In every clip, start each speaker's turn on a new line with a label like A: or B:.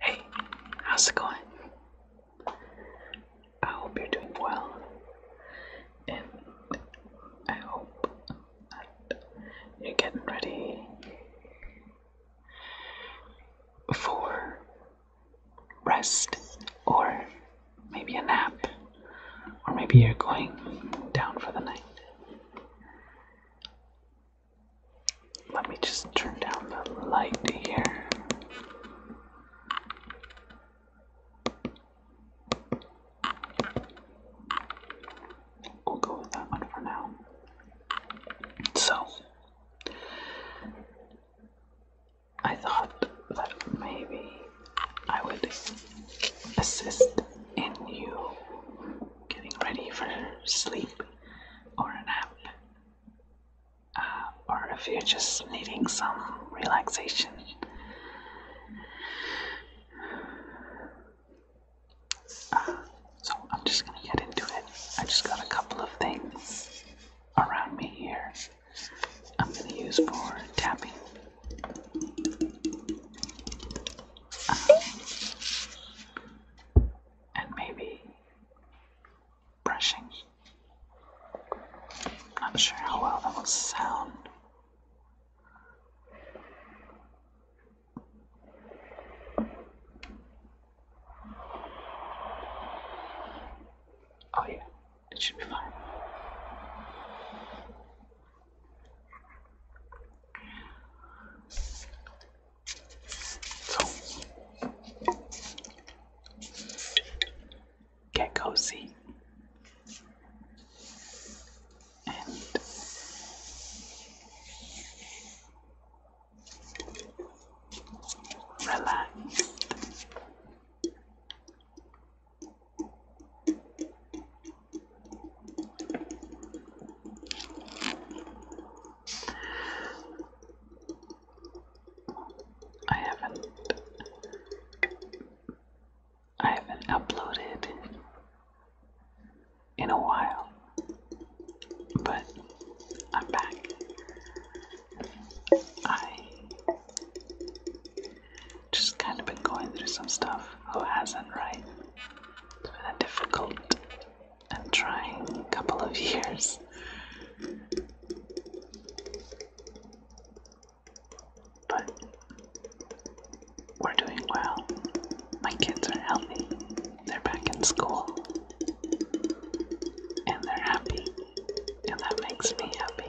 A: Hey, how's it going? I hope you're doing well, and I hope that you're getting ready for rest or maybe a nap, or maybe you're going down for the night. Let me just turn down the light here. We'll go with that one for now. So, I thought that maybe I would assist in you getting ready for sleep or a nap, uh, or if you're just needing some relaxation. Uh, so I'm just gonna get into it. I just got a couple of things around me here. I'm gonna use for tapping. Uh, and maybe brushing. Not sure how well that will sound. Oh, yeah, it should be fine. Get cozy. And relax. I haven't I haven't uploaded in a while, but I'm back. I just kind of been going through some stuff. Who oh, hasn't, right? It's been a difficult i trying a couple of years. But we're doing well. My kids are healthy. They're back in school. And they're happy. And that makes me happy.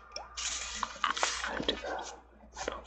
A: and to the middle top.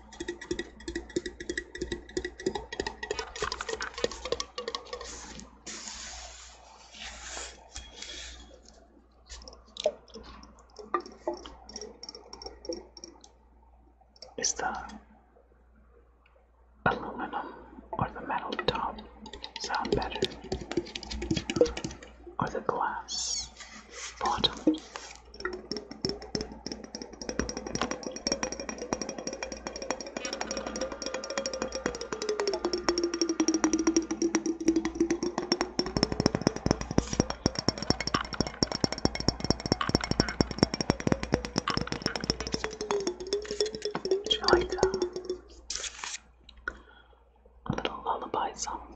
A: Está Aluminum or the metal top sound better, or the glass bottom would you like a, a little lullaby song?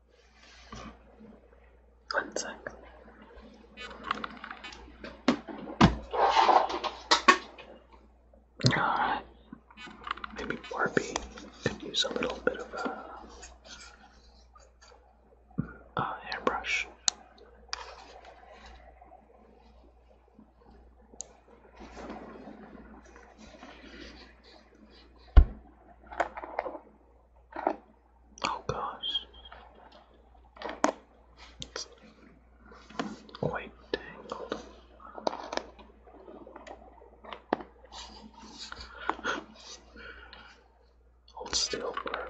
A: One sec. Alright. Maybe Barbie could use a little bit of a, uh, a Oh gosh. It's quite tangled. Hold still for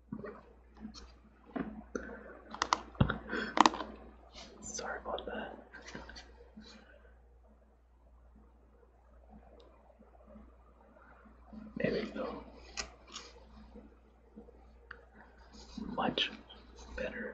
A: Sorry about that. There we Much better.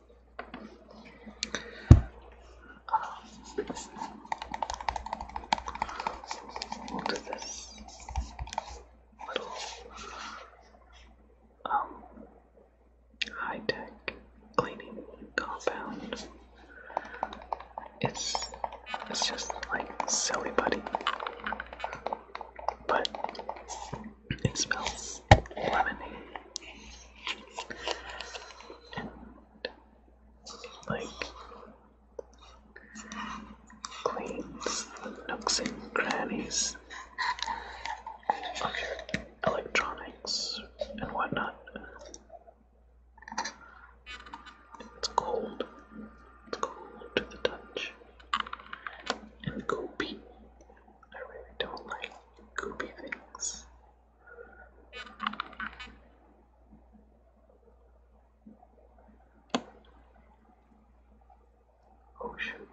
A: this little um, high tech cleaning compound. It's it's just like silly buddy, but it smells lemony like cleans the nooks and crannies of your electronics and whatnot. It's cold. It's cold to the touch. And goopy. I really don't like goopy things. Oh shoot.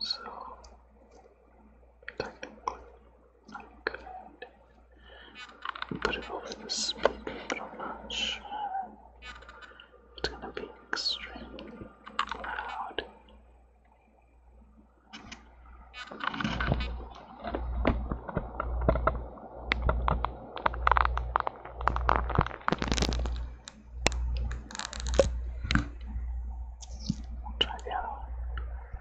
A: So technically Put it over the split but i It's gonna be extremely loud. We'll try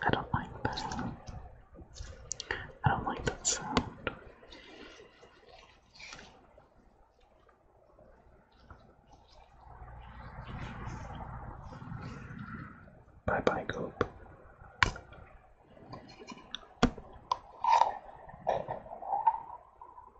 A: I don't like that. I don't like that sound. Bye bye, Goop.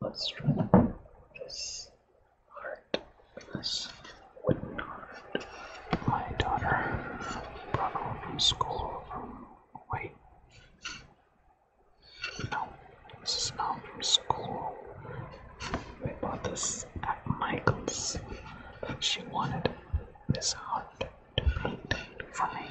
A: Let's try this heart. This wooden heart. My daughter brought home from school from wait. No, this is not from school. We bought this at Michael's. She wanted this heart to paint for me.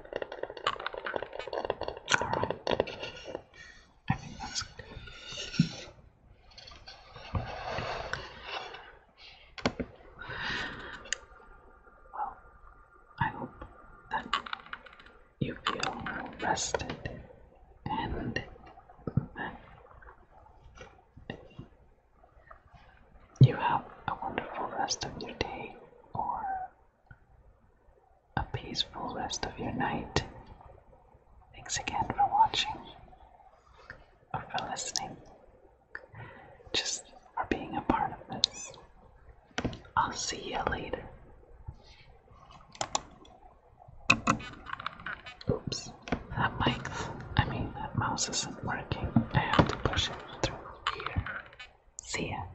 A: Alright. Well, I hope that you feel rested and you have a wonderful rest of your day or a peaceful rest of your night. Thanks again for watching or for listening, just for being a part of this. I'll see you later. Oops, that mic, I mean, that mouse isn't working. I have to push it through here. See ya.